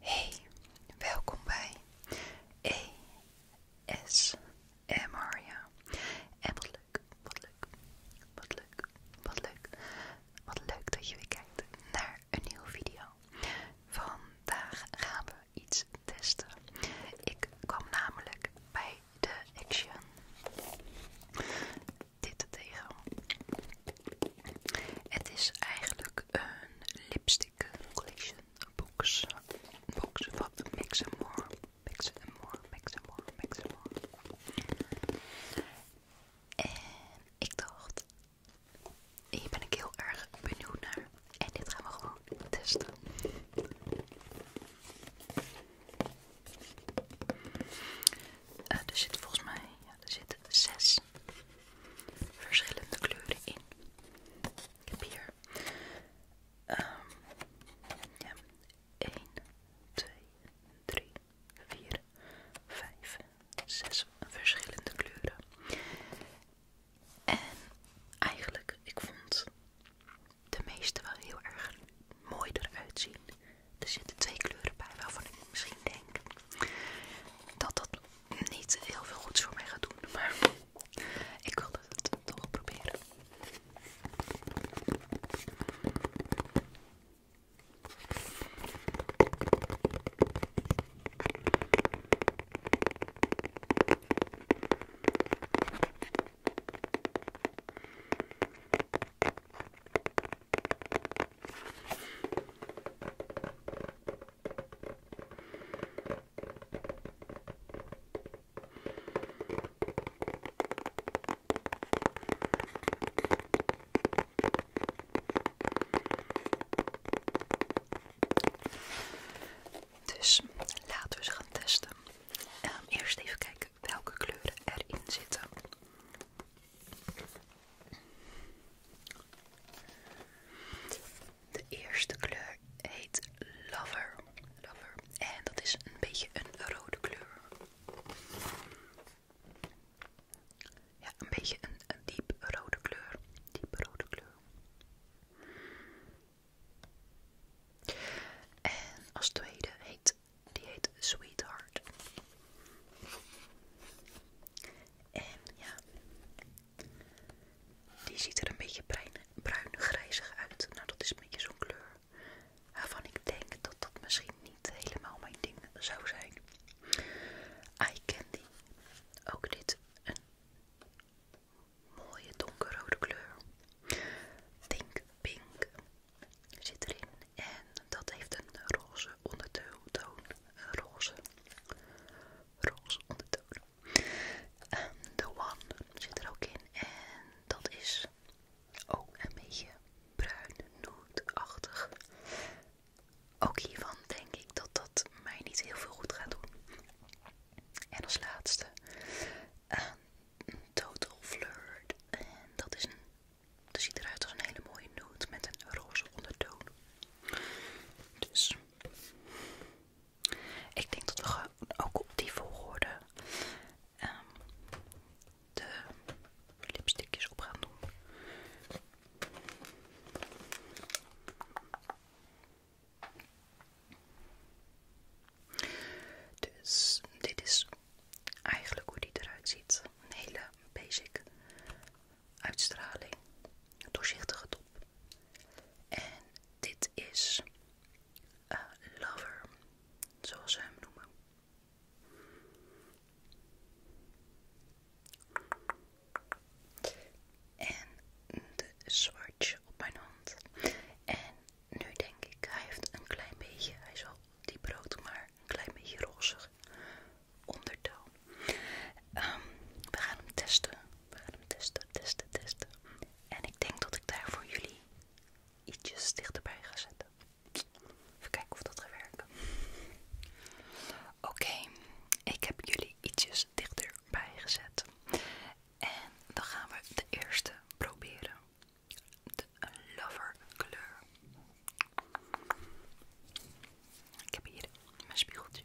Hey, welkom bij ASMR. Ja. En wat leuk, wat leuk, wat leuk, wat leuk, wat leuk dat je weer kijkt naar een nieuwe video. Vandaag gaan we iets testen. Ik kwam namelijk bij de Action dit tegen. Het is eigenlijk een lipstick collection box. Box wat Mix and More. Mix and More, Mix and More, Mix and More. En ik dacht, hier ben ik heel erg benieuwd naar. En dit gaan we gewoon testen. Eh, er zitten volgens mij ja, er zitten zes verschillende kleuren in. Ik heb hier 1, 2, 3, 4, 5, 6 verschillende kleuren. En eigenlijk, ik vond de meeste wel heel erg mooi eruit zien. Er zitten twee kleuren bij waarvan ik misschien denk dat dat niet heel veel goeds voor mij gaat doen. Maar ik wilde het toch proberen. Dus laten we ze gaan testen. Ehm, eerst even kijken welke kleuren erin zitten. De eerste kleur heet Lover. Lover. En dat is een beetje een rode kleur. Ja, een beetje een, een diep rode kleur. Diep rode kleur. En als tweede heet die heet Sweetheart. En ja, die ziet er een beetje bruin-grijzig uit. Nou, dat is een beetje zo'n kleur waarvan ik denk dat dat misschien niet helemaal mijn ding zou zijn. Eye Candy. Ook dit een mooie donkerrode kleur. Think Pink zit erin en dat heeft een roze ondertoon, een roze, roze ondertoon. Ehm, de One zit er ook in en dat is ook een beetje bruin nootachtig. Ook hiervan denk ik dat dat mij niet heel veel goed gaat doen. En als laatste, eh Total Flirt. En dat is een, dat ziet eruit als een hele mooie nude met een roze ondertoon. Dus ik denk dat we ook op die volgorde ehm, de lipstickjes op gaan doen. Dus dit is eigenlijk hoe die eruit ziet. Een hele basic uitstraling. Een doorzichtige top. En dit is eh, Lover, zoals ze hem noemen. En de zwartje op mijn hand. En nu denk ik, hij heeft een klein beetje, hij is al diep brood, maar een klein beetje rozig ondertoon. Ehm, we gaan hem testen, we gaan hem testen, testen, testen. En ik denk dat ik daar voor jullie ietsjes dichterbij ga zetten. Even kijken of dat gaat werken. Oké, ik heb jullie ietsjes dichterbij gezet. En dan gaan we de eerste proberen de lover kleur. Ik heb hier mijn spiegeltje.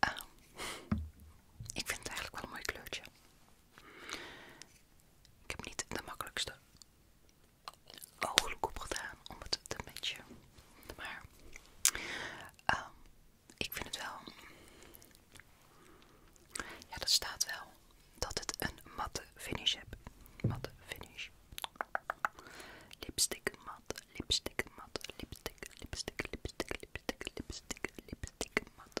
Ah. ik vind het eigenlijk wel een mooi kleurtje. Ik heb niet de makkelijkste ooglook opgedaan om het te matchen. Maar ehm, ik vind het wel. Ja, dat staat wel dat het een matte finish heeft. Matte finish. Lipstick mat, lipstick mat, lipstick, lipstick, lipstick, lipstick, lipstick, lipstick mat.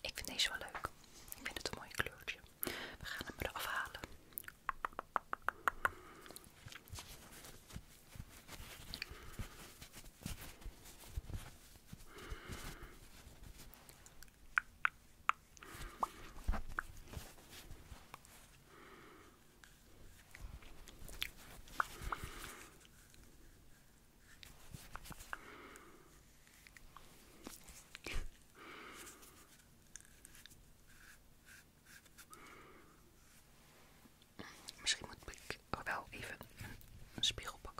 Ik vind deze wel leuk. Ik vind het een mooi kleurtje. We gaan hem eraf halen. Misschien moet ik wel even een, spiegel pakken.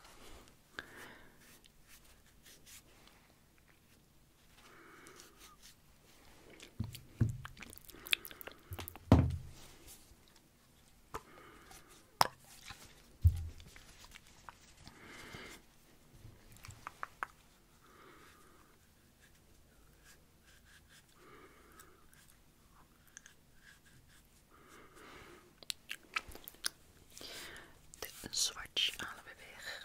De swatch halen we weg.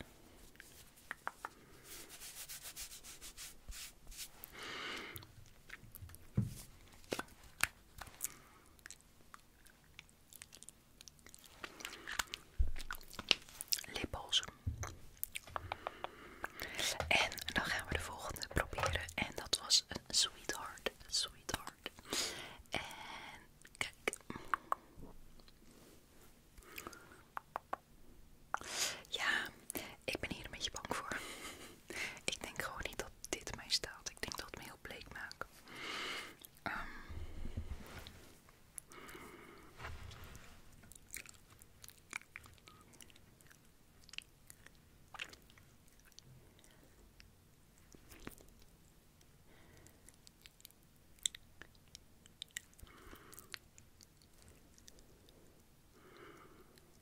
Lipbalsem. En dan gaan we de volgende proberen. En dat was een sweetheart. Sweetheart. En ja, ik ben hier een beetje bang voor. ik denk gewoon niet dat dit mij staat. Ik denk dat het me heel bleek maakt. Ehm.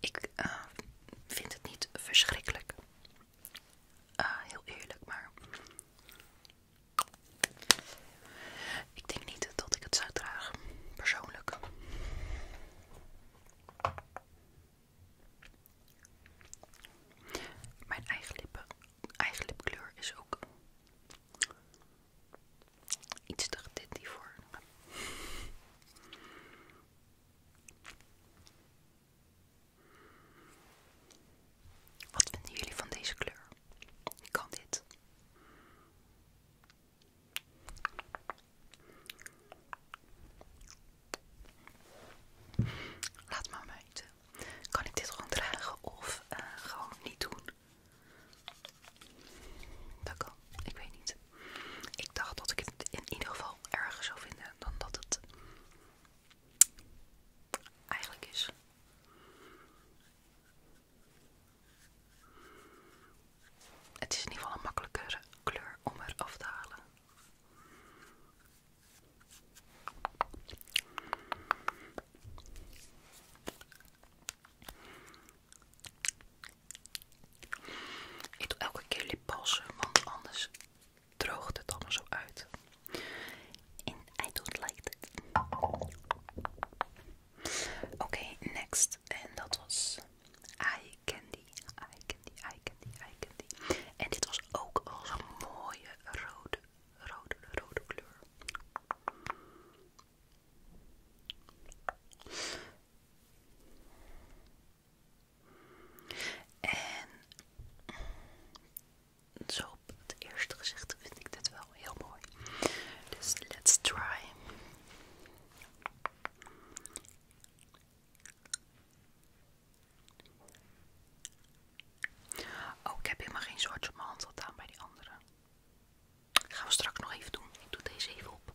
Ik eh, vind het niet verschrikkelijk Ah, heel eerlijk, maar ik denk niet dat ik het zou dragen, persoonlijk. Mijn eigen, lippen, eigen lipkleur is ook iets te dit hiervoor. Wat vinden jullie van deze kleur? Kan dit? Laat maar weten. Kan ik dit gewoon dragen of eh, gewoon niet doen? Dat kan, ik weet niet. Ik dacht dat ik het in ieder geval erger zou vinden dan dat het eigenlijk is. Het is in ieder geval een makkelijkere kleur om er af te halen. Ik doe elke keer lipbalsem, want anders droogt het allemaal zo uit. in I don't like it Oké, next. En dat was Eye Candy. Eye Candy, Eye Candy, Eye Candy. En dit was ook al zo'n mooie rode, rode, rode kleur. En zo op het eerste gezicht vind ik dit wel heel mooi. Dus let's try. Oh, ik heb helemaal geen soortje op mijn hand gedaan bij die andere. Dat gaan we straks nog even doen. Ik doe deze even op.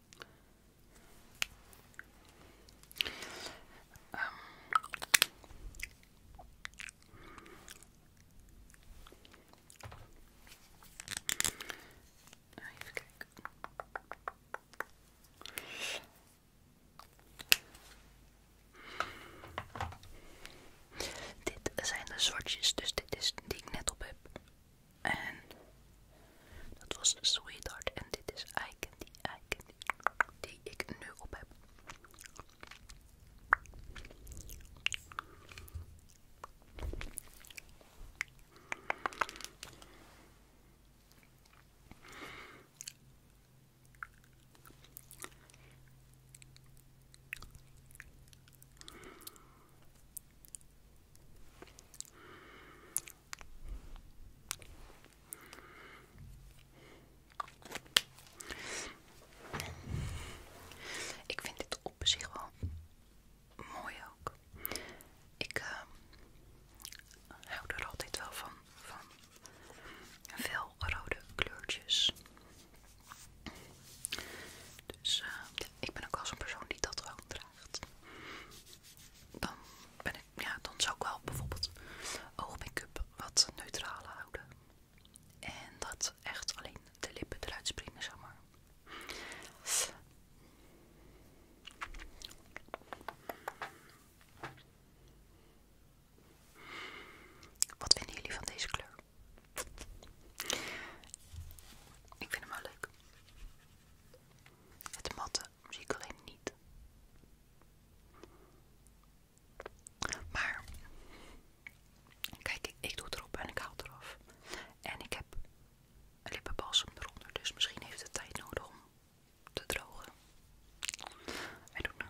Even kijken. Dit zijn de zwartjes, dus dit is die ik net op heb. En dat was Sweetheart en dit is I die I die ik nu op heb. Ik vind dit op zich wel mooi ook. Ik ehm, hou er altijd wel van, van veel rode kleurtjes. Dus ehm, ik ben ook wel zo'n persoon die dat wel draagt. Dan ben ik ja, dan zou ik wel bijvoorbeeld oogmake-up wat neutraler houden. En dat echt alleen de lippen eruit springen, zeg maar. Wat vinden jullie van deze kleur? Ik vind hem wel leuk. Het matte zie alleen niet. Maar kijk, ik, doe het erop en ik haal het eraf. En ik heb een lippenbalsem eronder, dus misschien heeft het tijd nodig om te drogen. I don't know.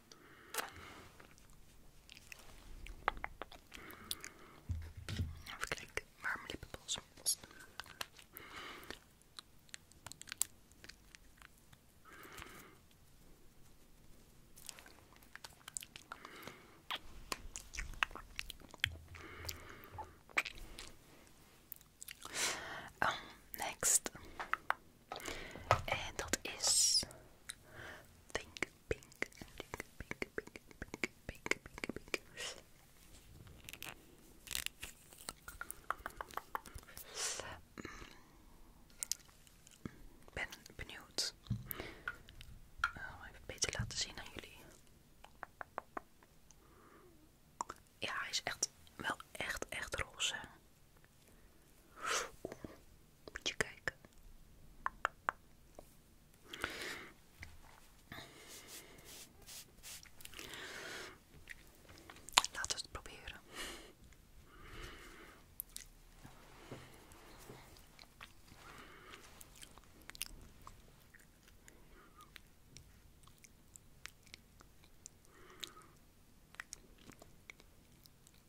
Even kijken lippenbalsem oh, next. En dat is Think pink, pink, pink, pink, pink, pink, pink, pink, pink. Mm. Ben benieuwd. Oh, even beter laten zien aan jullie. Ja, hij is echt wel echt echt roze. Moet Laten we het proberen.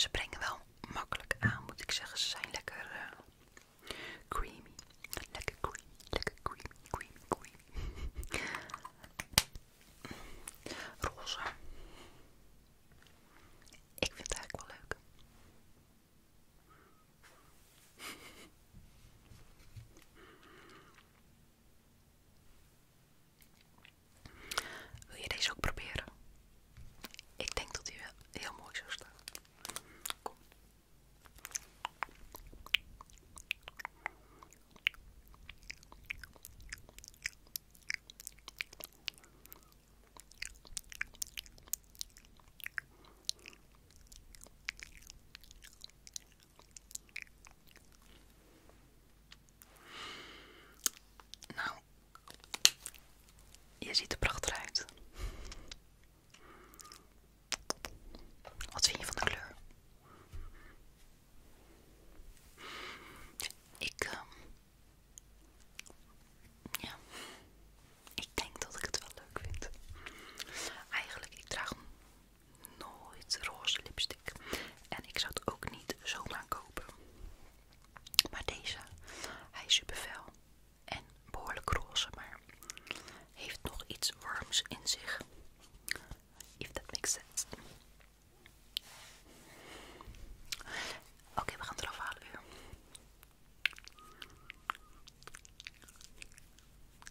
Ze brengen wel makkelijk aan, moet ik zeggen. Ze zijn lekker eh, creamy. Lekker creamy, lekker creamy, creamy, creamy. Roze. Ik vind het eigenlijk wel leuk. Wil je deze ook proberen? Ik denk dat wel heel mooi zou staan. Nou, je ziet er prachtig uit. Wat vind je van de kleur? Ik, ehm, ja, ik denk dat ik het wel leuk vind. Eigenlijk, ik draag hem nooit roze lipstick. En ik zou het ook niet zomaar kopen. Maar deze, hij is super fel en behoorlijk roze, maar heeft nog iets warms in zich. If that makes sense. Oké, we gaan het eraf halen weer.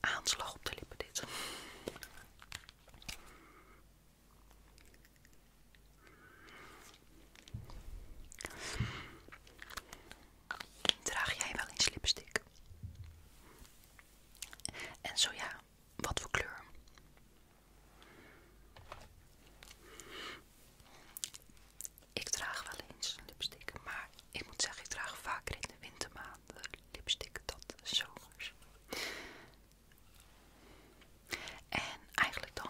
aanslag op de lippen dit. Draag jij wel eens lipstik? En zo ja, wat voor kleur? Ik draag wel eens lipstik, maar ik moet zeggen, ik draag vaker in de wintermaanden lipstick dan zomers. En eigenlijk dan.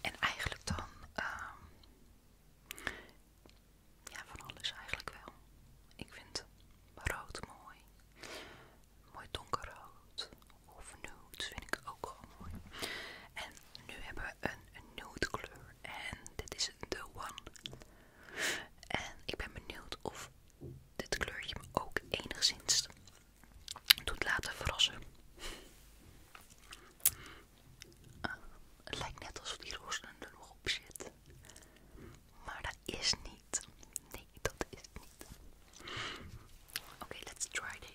En eigenlijk dan. Ehm, ja, van alles eigenlijk wel. Ik vind rood mooi. Mooi donkerrood. Of nude vind ik ook gewoon mooi nu hebben we een nude kleur. En dit is de One. En ik ben benieuwd of dit kleurtje me ook enigszins doet laten verrassen. Ah, het lijkt net alsof die roos er nog op zit. Maar dat is niet. Nee, dat is het niet. Oké, let's try deze.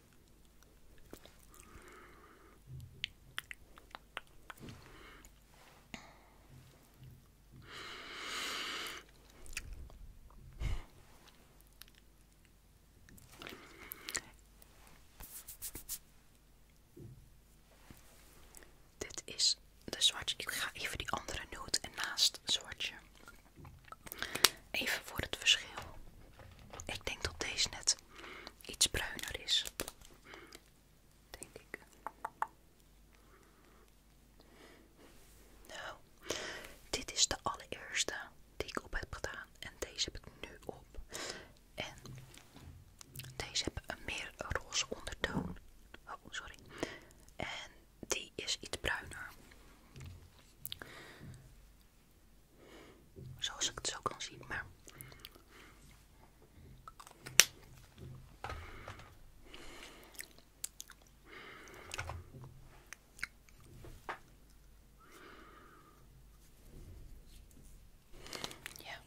Dit is de zwartje. Ik ga even die andere noot naast zwartje Even voor het verschil. Ik denk dat deze net iets bruiner is. Denk ik. Nou, dit is de allereerste die ik op heb gedaan. En deze heb ik nu op. En deze hebben een meer roze ondertoon. Oh, sorry. En die is iets bruiner. Zoals ik het zo kan zien, maar. Ja.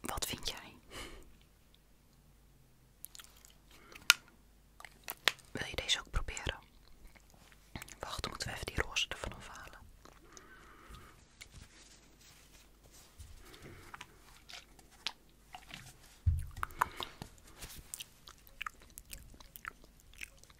Wat vind jij? Wil je deze ook proberen? Wacht, moeten we even die roze ervan halen.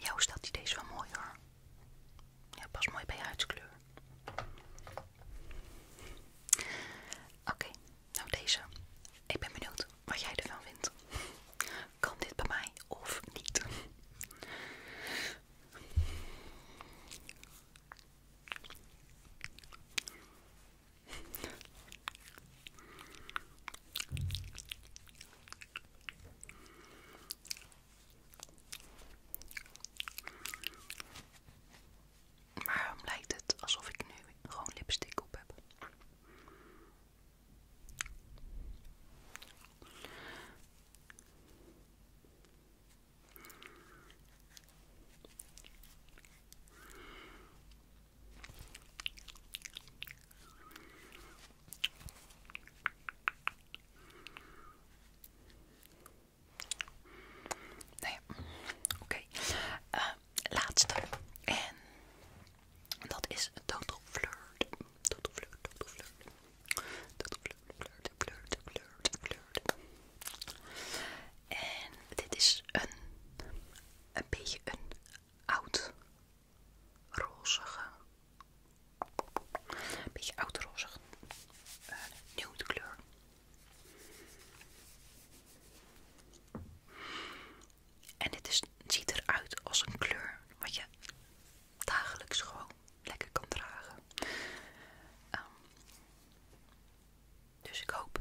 Jouw staat die deze wel mooi hoor. Ja, pas mooi bij je huidskleur. Oké, nou deze. Ik ben benieuwd wat jij ervan vindt. Kan dit bij mij of niet? Maar waarom lijkt het alsof ik nu gewoon lipstick op heb? Nee, nou oké. Eh, laatste. En dat is Total Flirt. Total Flirt, Total Flirt. Total Flirt, Flirt, Flirt, Flirt, Flirt. En dit is een, beetje een oud rozige, een beetje oud rozige, een eh, nude kleur. En dit ziet eruit als een kleur wat je dagelijks gewoon lekker kan dragen. Ehm, dus ik hoop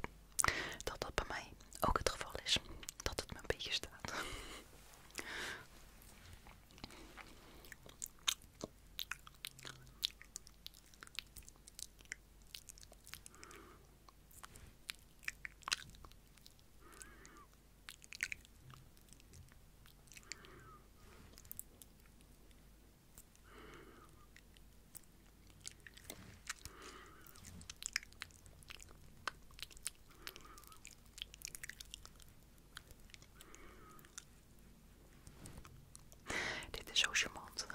dat dat bij mij ook het geval is. Dat het me een beetje staat. Dit is zo charmant.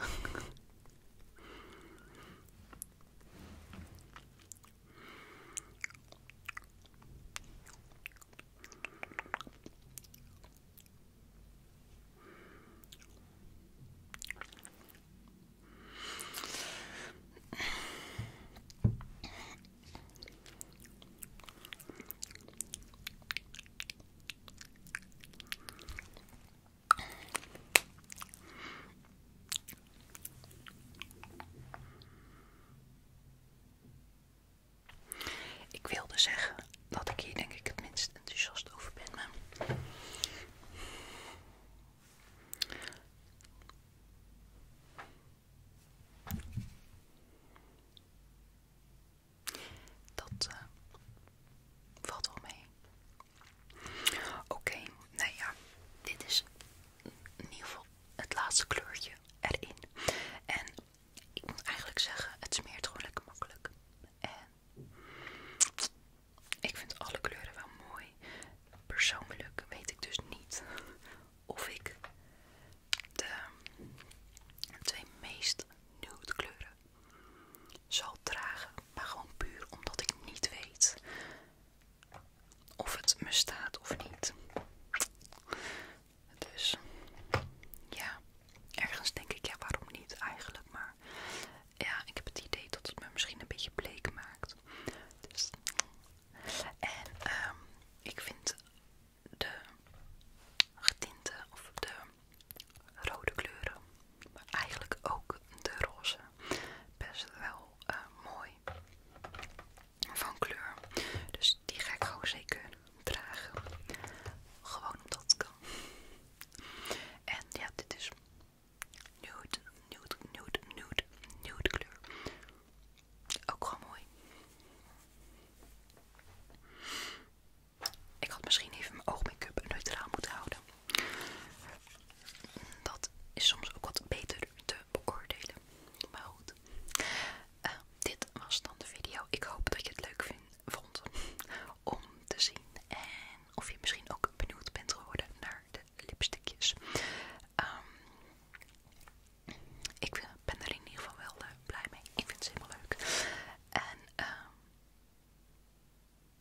Ik wilde zeggen dat ik hier denk ik het minst enthousiast over ben. Maar... Dat eh, valt wel mee. Oké, nou ja, dit is in ieder geval het laatste kleurtje erin. En ik moet eigenlijk zeggen, het smeert gewoon lekker makkelijk. En ik vind alle kleuren wel mooi. Persoonlijk weet ik dus niet of ik de twee meest nude kleuren zal dragen. Maar gewoon puur omdat ik niet weet of het me staat of niet. Dus ja. Ergens denk ik, ja waarom niet eigenlijk, maar ja, ik heb het idee dat het me misschien een beetje bleek maakt. Dus, en ehm, ik vind de getinte of de rode kleuren, maar eigenlijk ook de roze, best wel eh, mooi van kleur. Dus die ga ik gewoon zeker dragen. Gewoon omdat het kan. En ja, dit is nude, nude, nude, nude, nude kleur. Ook wel mooi. Ik had misschien even mijn oogmake-up neutraal moeten houden. Dat is soms ook wat beter te beoordelen. Maar goed. Eh, dit was dan de video. Ik hoop dat je het leuk vindt vond om te zien. En of je misschien ook benieuwd bent geworden naar de lipstickjes. Ehm, ik ben er in ieder geval wel eh, blij mee. Ik vind ze helemaal leuk. En ehm,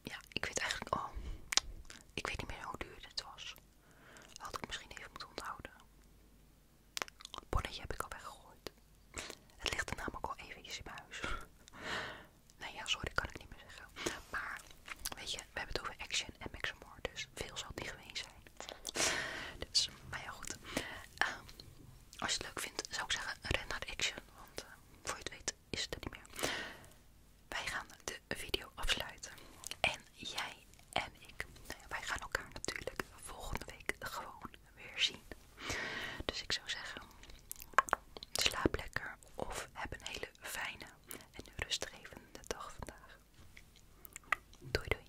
ja, ik weet eigenlijk al. Oh, ik weet niet meer hoe duur dit was. Had ik misschien even moeten onthouden. Bonnetje heb ik al weggegooid. Het ligt er namelijk al even in mijn huis. nou ja, sorry, kan ik niet meer zeggen. Maar, weet je, we hebben het over Action en more, dus veel zal niet geweest zijn. Dus, maar ja goed. Ehm, als je het leuk vindt, zou ik zeggen, ren naar Action, want eh, voor je het weet is het er niet meer. Wij gaan de video afsluiten. En jij en ik, nou wij gaan elkaar natuurlijk volgende week gewoon weer Dus ik zou zeggen, slaap lekker of heb een hele fijne en rustgevende dag vandaag. Doei doei.